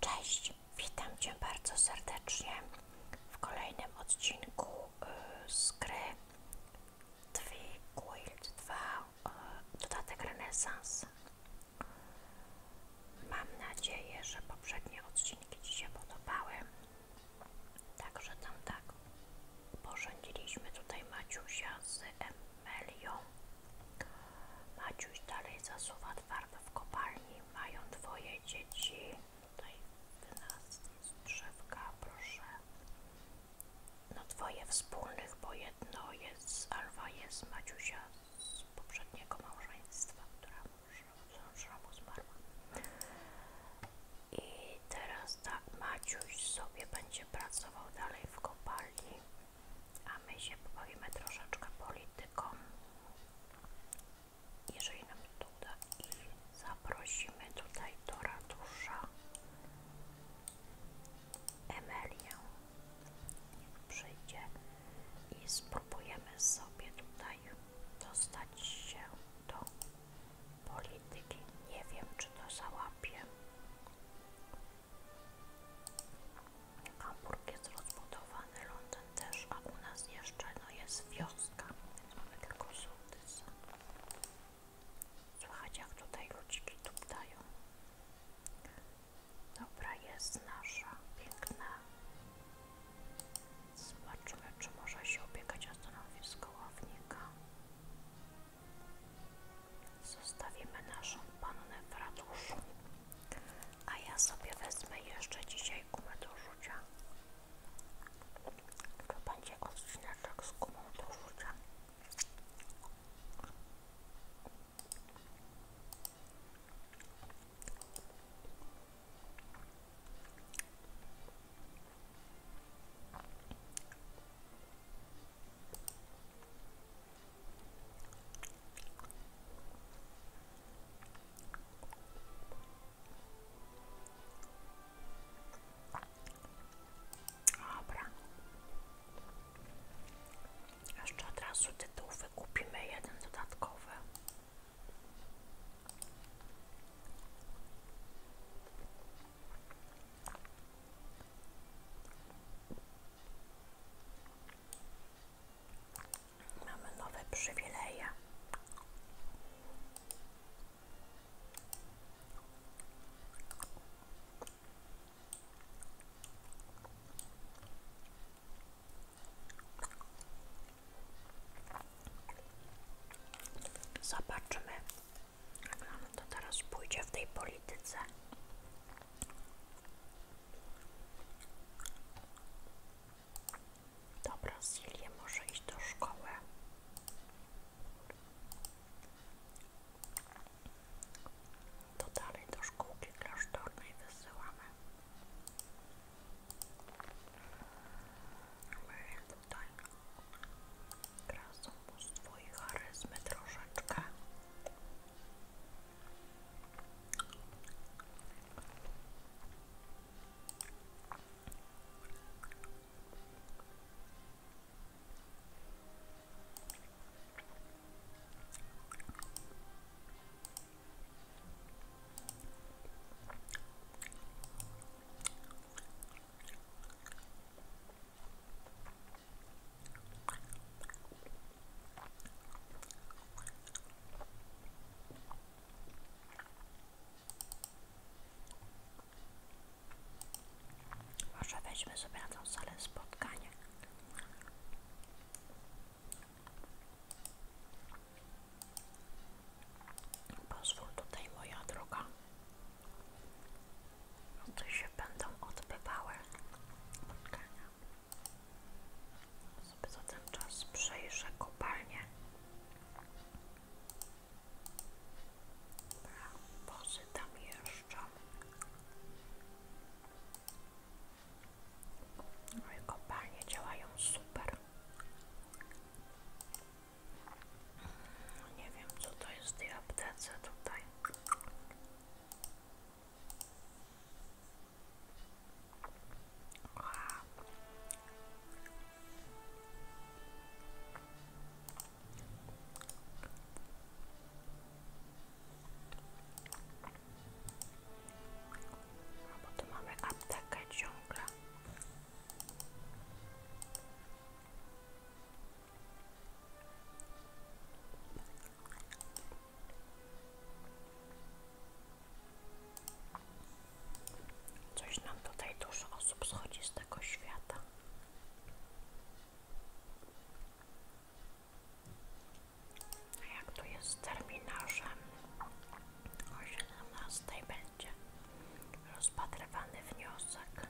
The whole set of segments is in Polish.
Cześć, witam Cię bardzo serdecznie w kolejnym odcinku y, z gry Twi Quilt 2 Dodatek Renaissance. Mam nadzieję, że poprzednie odcinki Ci się podobały. Także tam tak Porzędziliśmy tutaj Maciusia z Emelią. Maciuś dalej zasuwa twardo w kopalni. Mają dwoje dzieci. Tutaj w nas jest proszę. No dwoje wspólnych, bo jedno jest, Alwa jest Maciusia z poprzedniego małżeństwa, która już zmarła. I teraz Mazda, Maciuś sobie będzie pracował dalej w kopalni, a my się pobawimy troszeczkę polityką, jeżeli nam to uda i zaprosimy tutaj do ratusza Emelię, niech przyjdzie i spróbujemy sobie tutaj dostać się do polityki. Nie wiem, czy to załapię. Hamburg jest rozbudowany, Londyn też, a u nas jeszcze no, jest wioska, więc mamy tylko sołtysa. Słuchajcie, jak tutaj ludziki tuptają. Dobra, jest nasza piękna. Zobaczymy, czy może się opiekać o stanowisko ławnika. Zostawimy naszą pannę w ratuszu. A ja sobie wezmę jeszcze dzisiaj gumę do rzucia. To będzie odcineczek z gumą do rzucia. Dobra. Jeszcze od razu tytuł wykupimy jeden dodatkowy. Mamy nowe przywileje. Zobaczmy, no to teraz pójdzie w tej polityce. Dobra, Silje może iść do szkoły. To dalej do szkółki klasztornej wysyłamy. Mamy tutaj Krasą mnóstwo i charyzmy troszeczkę. Może weźmy sobie na salę spotkanie. Pozwól tutaj moja droga tu się będą odbywały spotkania. Sobie za ten czas przejrzę kopalnię. Dobra, bozy tam jeżdżą. Moje no kopalnie działają super. Nie wiem, co to jest w tej tutaj. bo tu mamy aptekę ciągle. Coś nam tutaj dużo osób schodzi z tego świata. A jak tu jest z terminarzem? O 17 będzie rozpatrywany wniosek.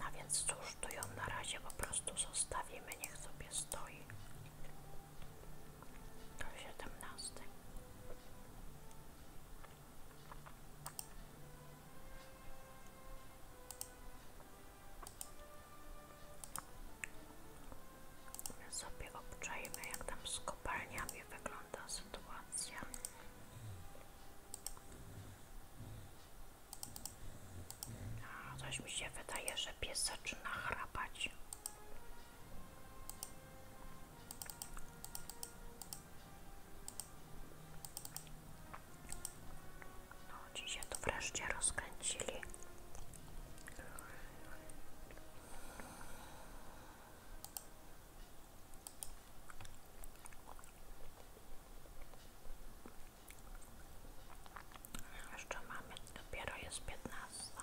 A no więc cóż, tu ją na razie po prostu zostawimy, niech sobie stoi. To 17 sobie obczajmy, jak tam z kopalniami wygląda sytuacja. A, coś mi się wydaje, że pies zaczyna chrapać. No, ci się tu wreszcie rozkręcili. Jeszcze mamy, dopiero jest piętnasta.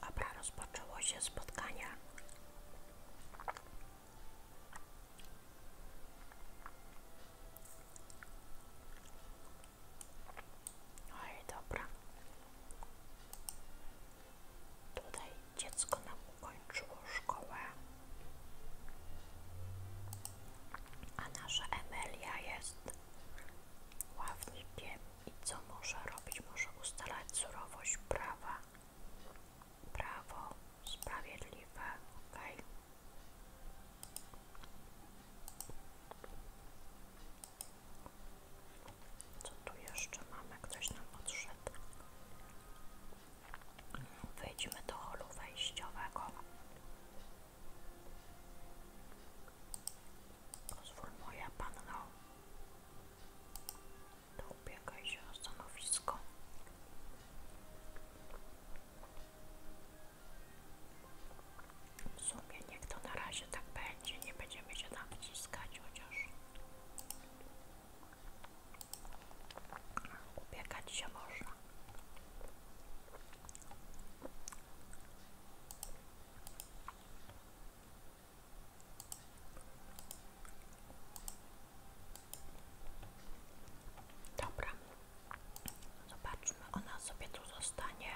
Dobra, rozpoczęło się spotkanie. Oj, dobra. Tutaj dziecko nam ukończyło szkołę. A nasza Emilia jest ławnikiem i co może robić? Może ustalać surowość prawa, prawo sprawiedliwe, ok? Co tu jeszcze mamy? Ktoś nam odszedł. Wyjdźmy do holu wejściowego. Pozwól moja panno, to ubiegaj się o stanowisko. W sumie niech to na razie tak będzie, nie będziemy się tam wciskać, chociaż ubiegać się można. Dobra, zobaczmy, ona sobie tu zostanie.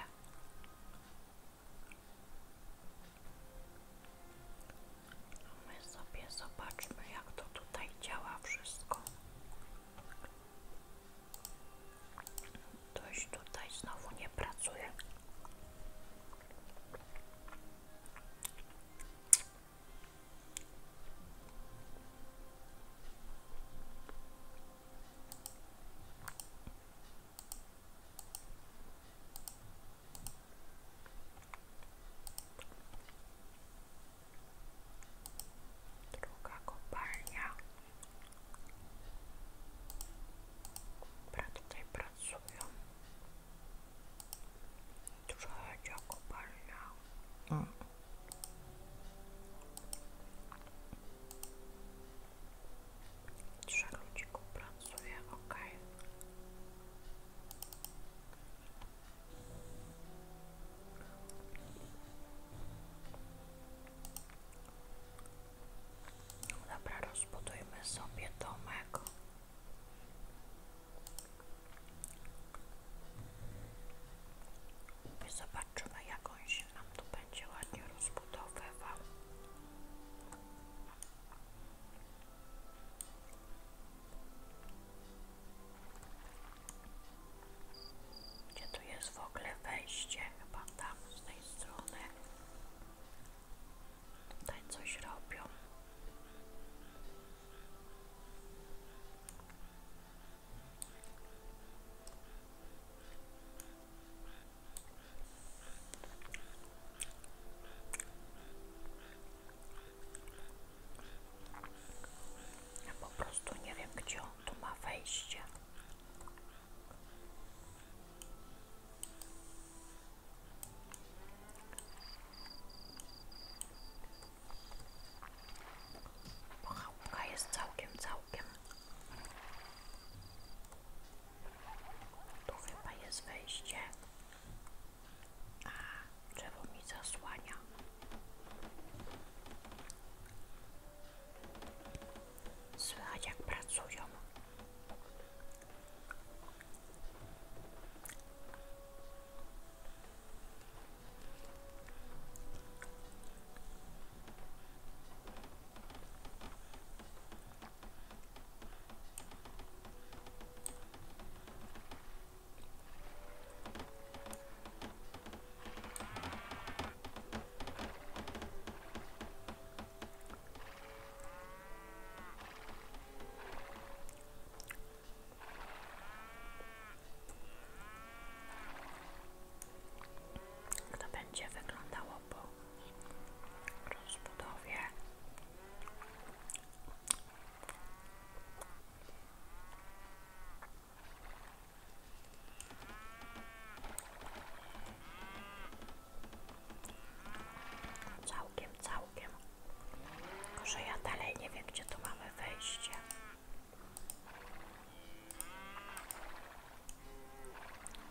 my sobie zobaczmy, jak to tutaj działa wszystko. To Ktoś tutaj znowu nie pracuje. Druga kopalnia. Dobra, tutaj pracują. Dużo chodzi o kopalnia. Mm. Trzech pracuje, ok. Dobra, rozbudujmy sobie domek. I zobaczymy, jak on się nam tu będzie ładnie rozbudowywał. Gdzie tu jest w ogóle wejście? Chyba tam tej strony. Tutaj coś robią. po prostu nie wiem, gdzie on tu ma wejście. Chałupka jest całkiem, całkiem. Tu chyba jest wejście. A, drzewo mi zasłania. Słychać jak pracują. Jak to będzie wyglądało po rozbudowie? Całkiem, całkiem. Tylko, ja dalej nie wiem, gdzie tu mamy wejście.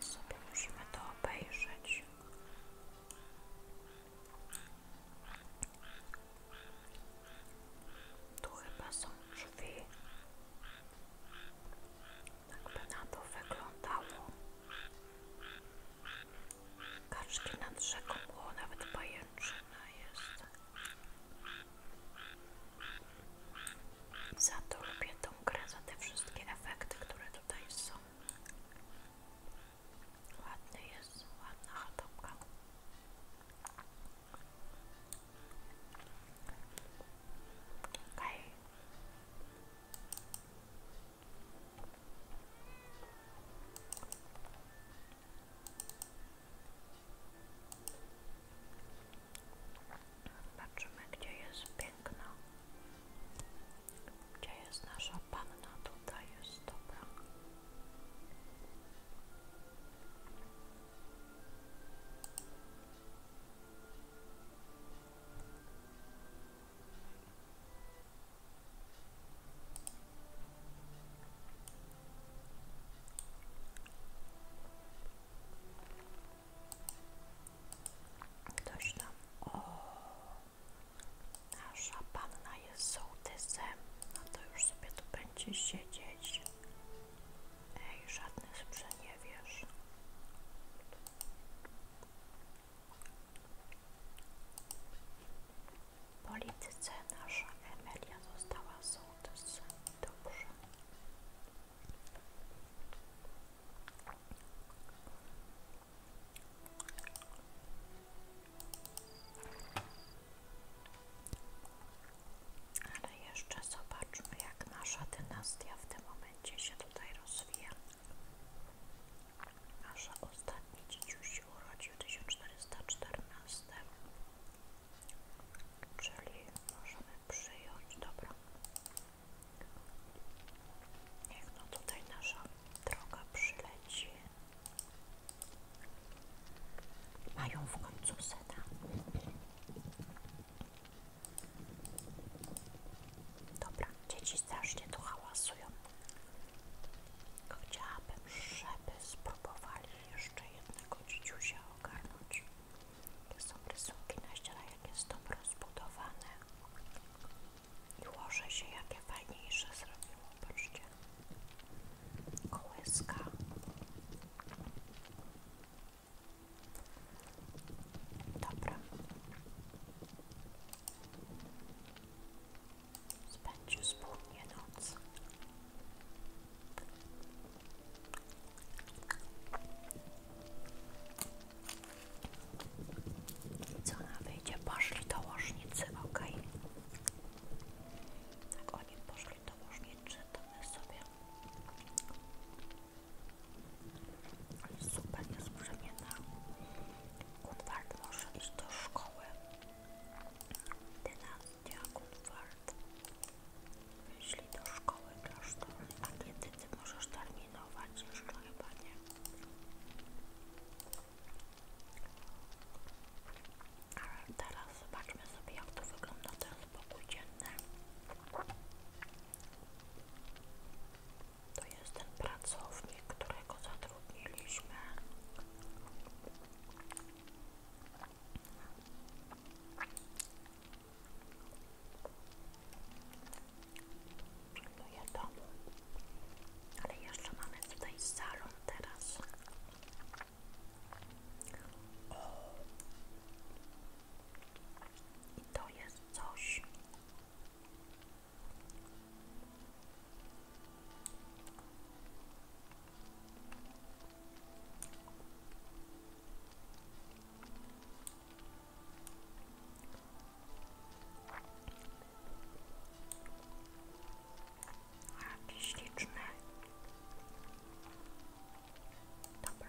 Sobie musimy to obejrzeć. Tu chyba są drzwi. Tak by na to wyglądało. Kaczki nad rzeką było, nawet pajęczyna jest. Za to lubię tą grę, za te wszystkie efekty, które tutaj są. Ładny jest, ładna chatopka. Okej. Patrzymy, gdzie jest piękna. Gdzie jest nasza panna? jest dobra. Ktoś tam. O, nasza panna jest sołtysem. No to już sobie tu będzie siedzieć. Ej, żadne sprzeniewierz. Polityce nasza Emilia została sołtysem. Ale jeszcze zobaczmy, jak nasza dynastia w tym momencie będzie się tutaj rozwija. Nasza ostatni dzieciuś się urodził w 1414, czyli możemy przyjąć, dobra. Niech no tutaj nasza droga przyleci. Mają w końcu seta. Dobra, dzieci strasznie tu hałasują. Chciałabym, żeby spróbowali jeszcze jednego dzieciusia ogarnąć. To są rysunki na ścianie, jakie są rozbudowane. I łoże się jakie fajniejsze zrobiło, patrzcie. Kołyska. Dobra. Spędził wspólnie noc. I co ona wyjdzie? Poszli do łożnicy, ok? Tak, oni poszli do łożnicy, to sobie ale super jest brzemienna. może iść do szkoły. Dynastia Kunwart. Wyszli do szkoły klasztornej. A kiedy ty możesz terminować? Jeszcze chyba nie. Ale teraz zobaczmy sobie jak to wygląda ten spokój dzienny. To jest ten pracownik, którego zatrudniliśmy. Pilnuję domu. Ale jeszcze mamy tutaj salon teraz. I to jest coś. Jaki Dobra.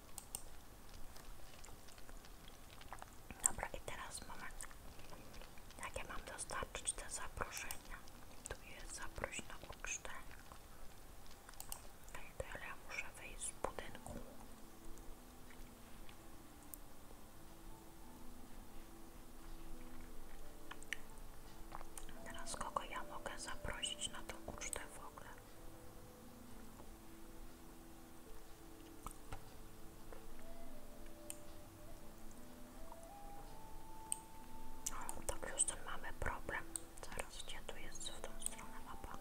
Dobra, i teraz moment. Jakie mam dostarczyć te zaproszenia? Tu jest zaproś na ucztę. Ej, to muszę wyjść z budynku. Teraz kogo ja mogę zaprosić na tą ucztę w ogóle? O, tak już ten mamy problem. Zaraz gdzie tu jest w tą stronę mapa?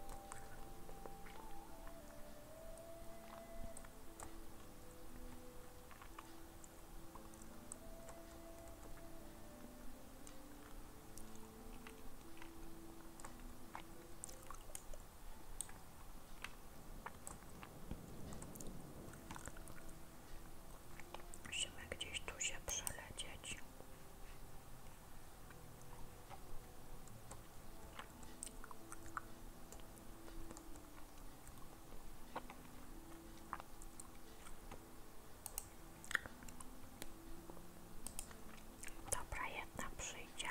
Musimy gdzieś tu się przelecieć. Dobra, jedna przyjdzie.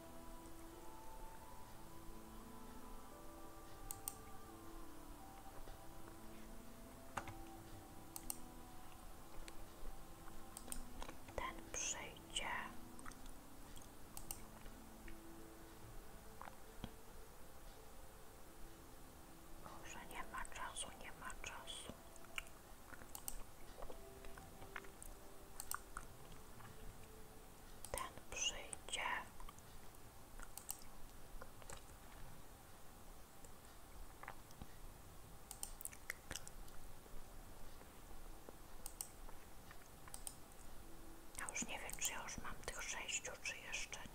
Ten przyjdzie. Może nie ma czasu, nie ma czasu. Ten przyjdzie. Ja już nie wiem, czy ja już mam tych sześciu, czy jeszcze nie.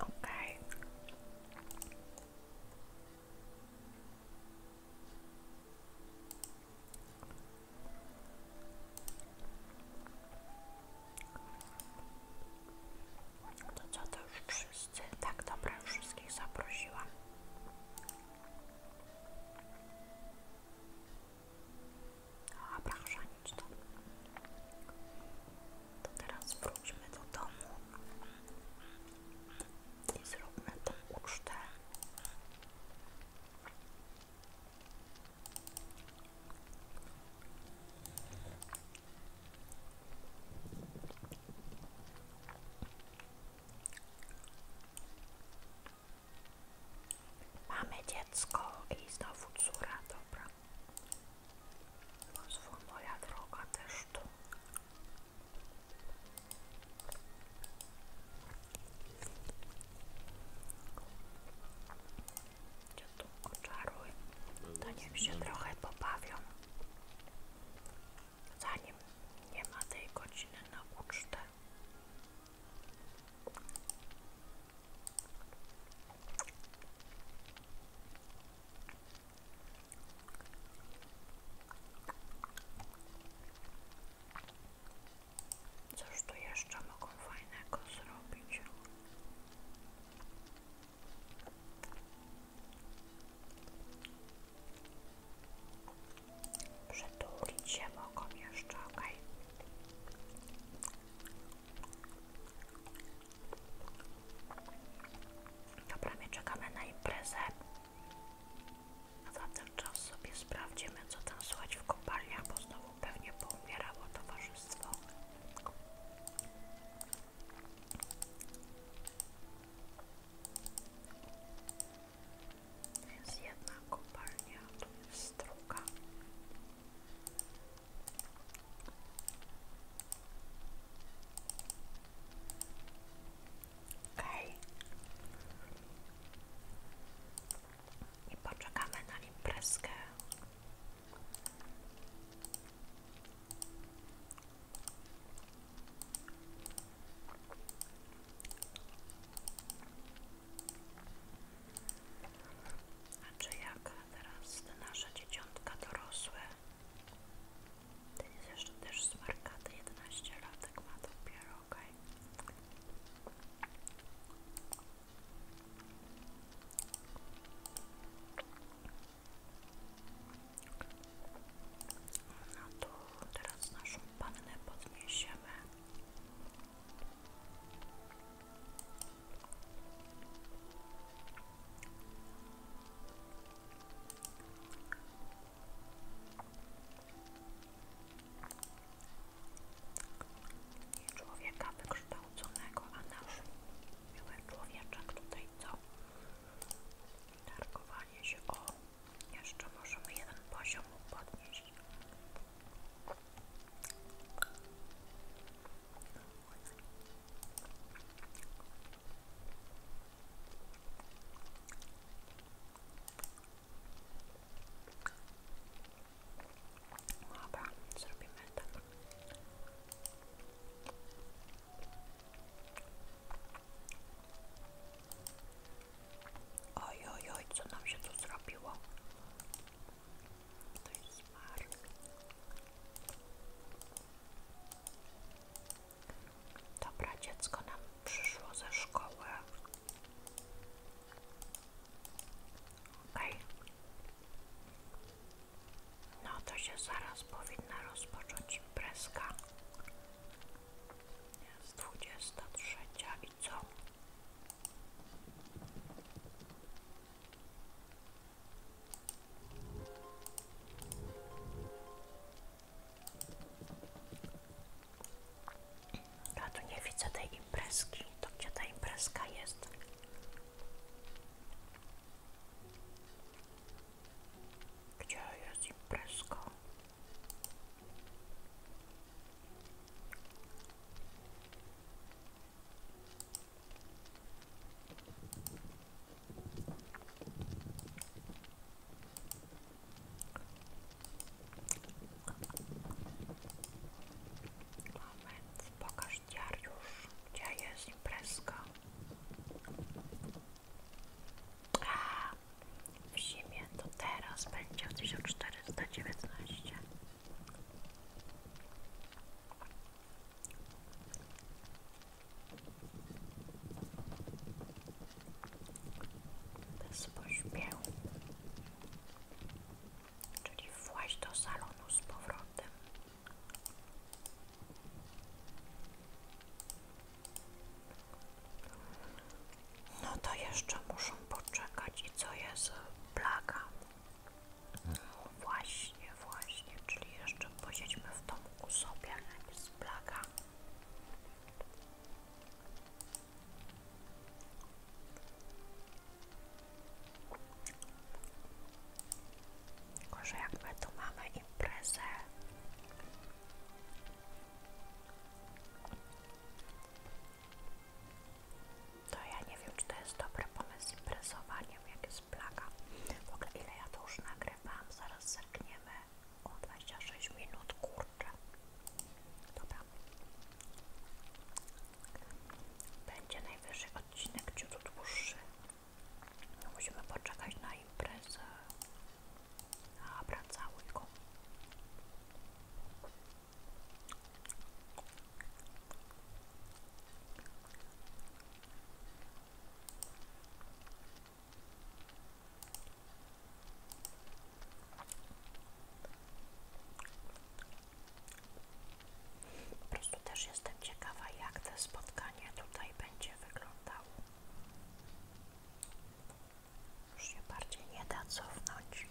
Okej. To co to już wszyscy? Tak, dobra, wszystkich zaprosiłam. A, proszę, nic to. To teraz wróćmy do i zróbmy tę ucztę. Mamy dziecko i znowu córa, dobra. Pozwól moja droga też tu. Cię tu oczaruj. To niech się trochę pobawią. Zanim nie ma tej godziny na ucztę. Cóż tu jeszcze mogą fajnego zrobić? Przytulić się mogą jeszcze, okej. Dobra, my czekamy na imprezę. A za ten czas sobie sprawdzimy, co tam słychać w kopalniach, bo znowu pewnie poumierało towarzystwo. jest jedna kopalnia, tu jest druga. I poczekamy na imprezkę. A czy jak teraz te nasze dzieciątka dorosłe? To jest jeszcze też z markaty 11 ma dopiero, okej. No teraz naszą pannę podniesiemy. Nie człowieka wykształconego, a nasz miły człowieczek tutaj co? Targowanie się o jeszcze możemy jeden poziom podnieść. Dobra, zrobimy tak. Oj, oj, oj, co nam się tu zrobiło? To jest Mark. Dobra, dziecko nam przyszło ze szkoły. Okej. No to się zaraz powinna rozpocząć imprezka. Jest 23 i co? Ja tu nie widzę tej imprezki. gdzie ta imprezka jest? Gdzie jest imprezka? Moment, pokaż Dariusz, gdzie jest imprezka. A, w zimie to teraz będzie w 1419. Bez pośpiechu. Czyli właśnie do salonu z powrotem. No to jeszcze muszą poczekać i co jest plaga? Właśnie, właśnie, czyli jeszcze posiedźmy w domku sobie, a nie z plaga. Tylko, jak my tu mamy imprezę, to ja nie wiem, czy to jest dobry pomysł z imprezowaniem, jak jest plaga. W ogóle ile ja to już nagrywam, zaraz zerkniemy. O 26 minut, kurczę. Dobra. Będzie najwyższy odcinek ciut dłuższy. No, musimy poczekać na imprezę. A, wracały go. Po prostu też jestem ciekawa, jak to spotkanie tutaj będzie wyglądało. Już się bardziej nie da cofnąć.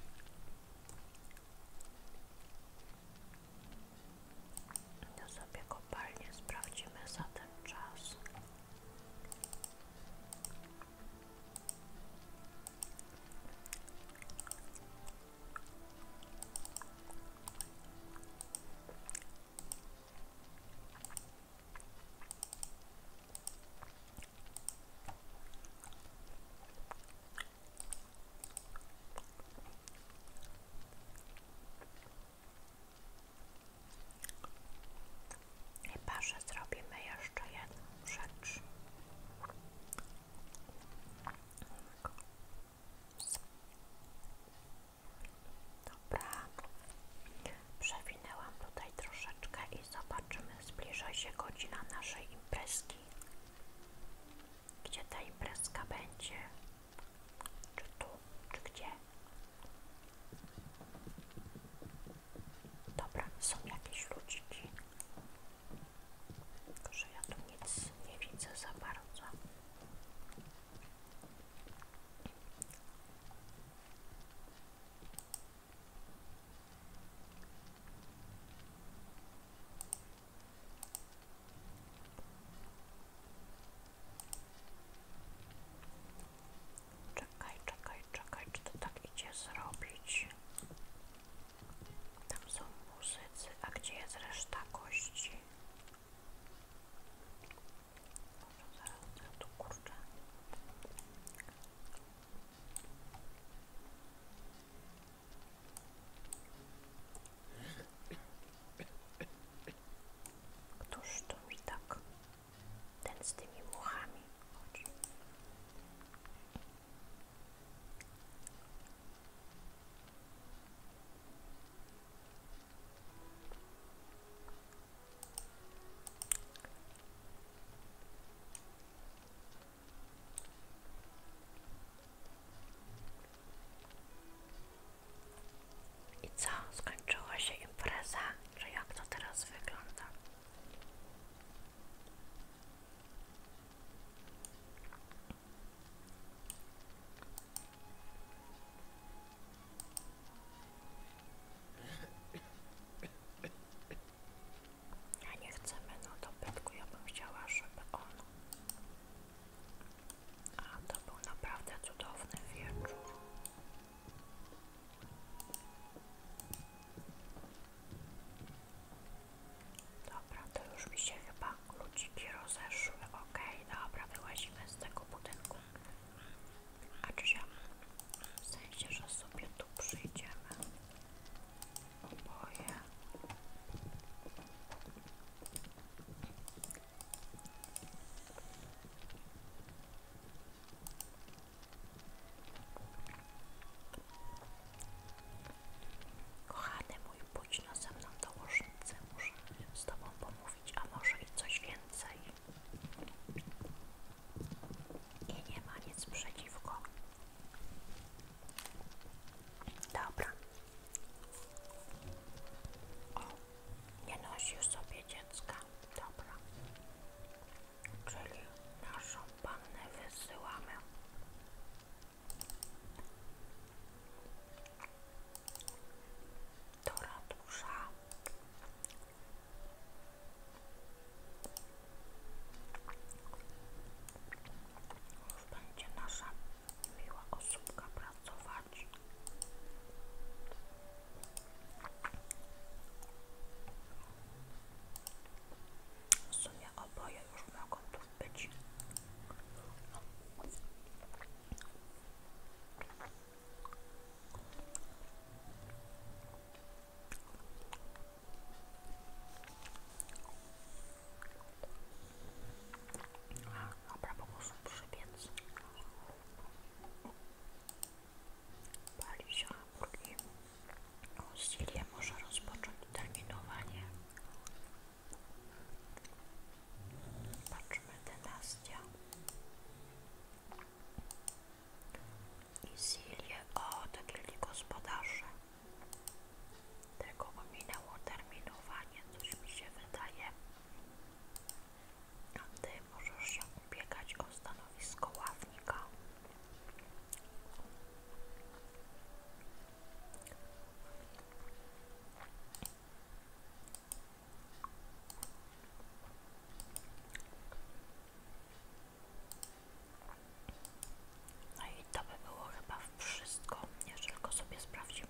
Ja sobie kopalnię sprawdzimy za ten czas. I parze zrobimy jeszcze jedną rzecz. Dobra, przewinęłam tutaj troszeczkę i zobaczymy, zbliża się godzina naszej imprezki. Gdzie ta imprezka będzie? Czy tu, czy gdzie? Dobra, są jakieś ludziki. Tylko, ja tu nic nie widzę za bardzo. Czekaj, czekaj, czekaj, czy to tak idzie zrobić? Tam są muzycy, a gdzie jest reszta kości? Któż to mi tak? Ten z tymi muchami chodzi. I co? Skończyła się impreza? Że jak to teraz wygląda? Ja nie chcemy no do bytku, ja bym chciała, żeby on a to był naprawdę cudowny wieczór. Dobra, to już mi się chyba ludziki rozeszły. Okej, dobra, wyłazimy z tego budynku. A czy się w sensie, że sobie tu przyjdziemy? Oboje. Kochany mój, pójdź no ze mną do łożnicy, muszę z Tobą pomówić, a może i coś więcej. I nie ma nic przeciwko. Dobra, nie nosił sobie dziecka. Dobra. Czyli naszą pannę wysyłamy. Do ratusza. Już będzie nasza miła osobka pracować. W sumie oboje już mogą tu być. Dobra, po prostu przybiec. Pali się drugi. Usilnie może rozpocząć terminowanie. Patrzmy, dynastia. I Silie, o, takie gospodarze. Tego minęło terminowanie, coś mi się wydaje. A ty możesz się ubiegać o stanowisko ławnika. No i to by było chyba wszystko, jeżeli tylko sobie sprawdzimy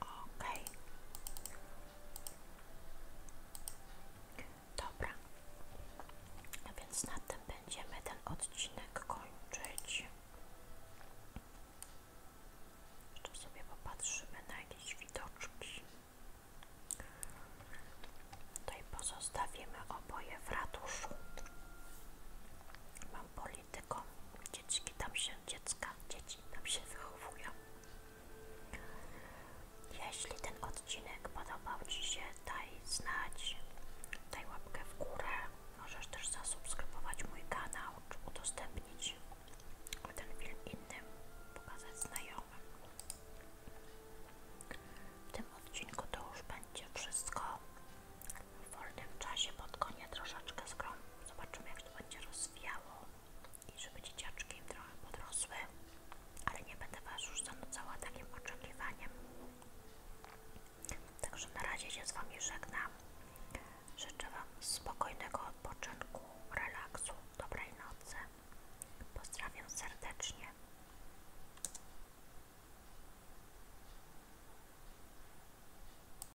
Okej. Dobra. No więc na tym będziemy ten odcinek kończyć. Jeszcze sobie popatrzymy na jakieś widoczki. Tutaj pozostawimy oboje w ratuszu. Mam poli tylko dzieciaki tam się, dziecka, dzieci tam się wychowują. Jeśli ten odcinek podobał Ci się, daj znać, daj łapkę w górę. Możesz też zasubskrybować mój kanał, czy udostępnić ten film innym, pokazać znajomym. W tym odcinku to już będzie wszystko w wolnym czasie pod koniec troszeczkę z grą. Zobaczymy jak to będzie rozwijało i żeby dzieciaczki trochę podrosły, ale nie będę Was już zanudzała takim oczekiwaniem. Także na razie się z Wami żegnam. Życzę Wam spokojnego odpoczynku, relaksu, dobrej nocy. Pozdrawiam serdecznie.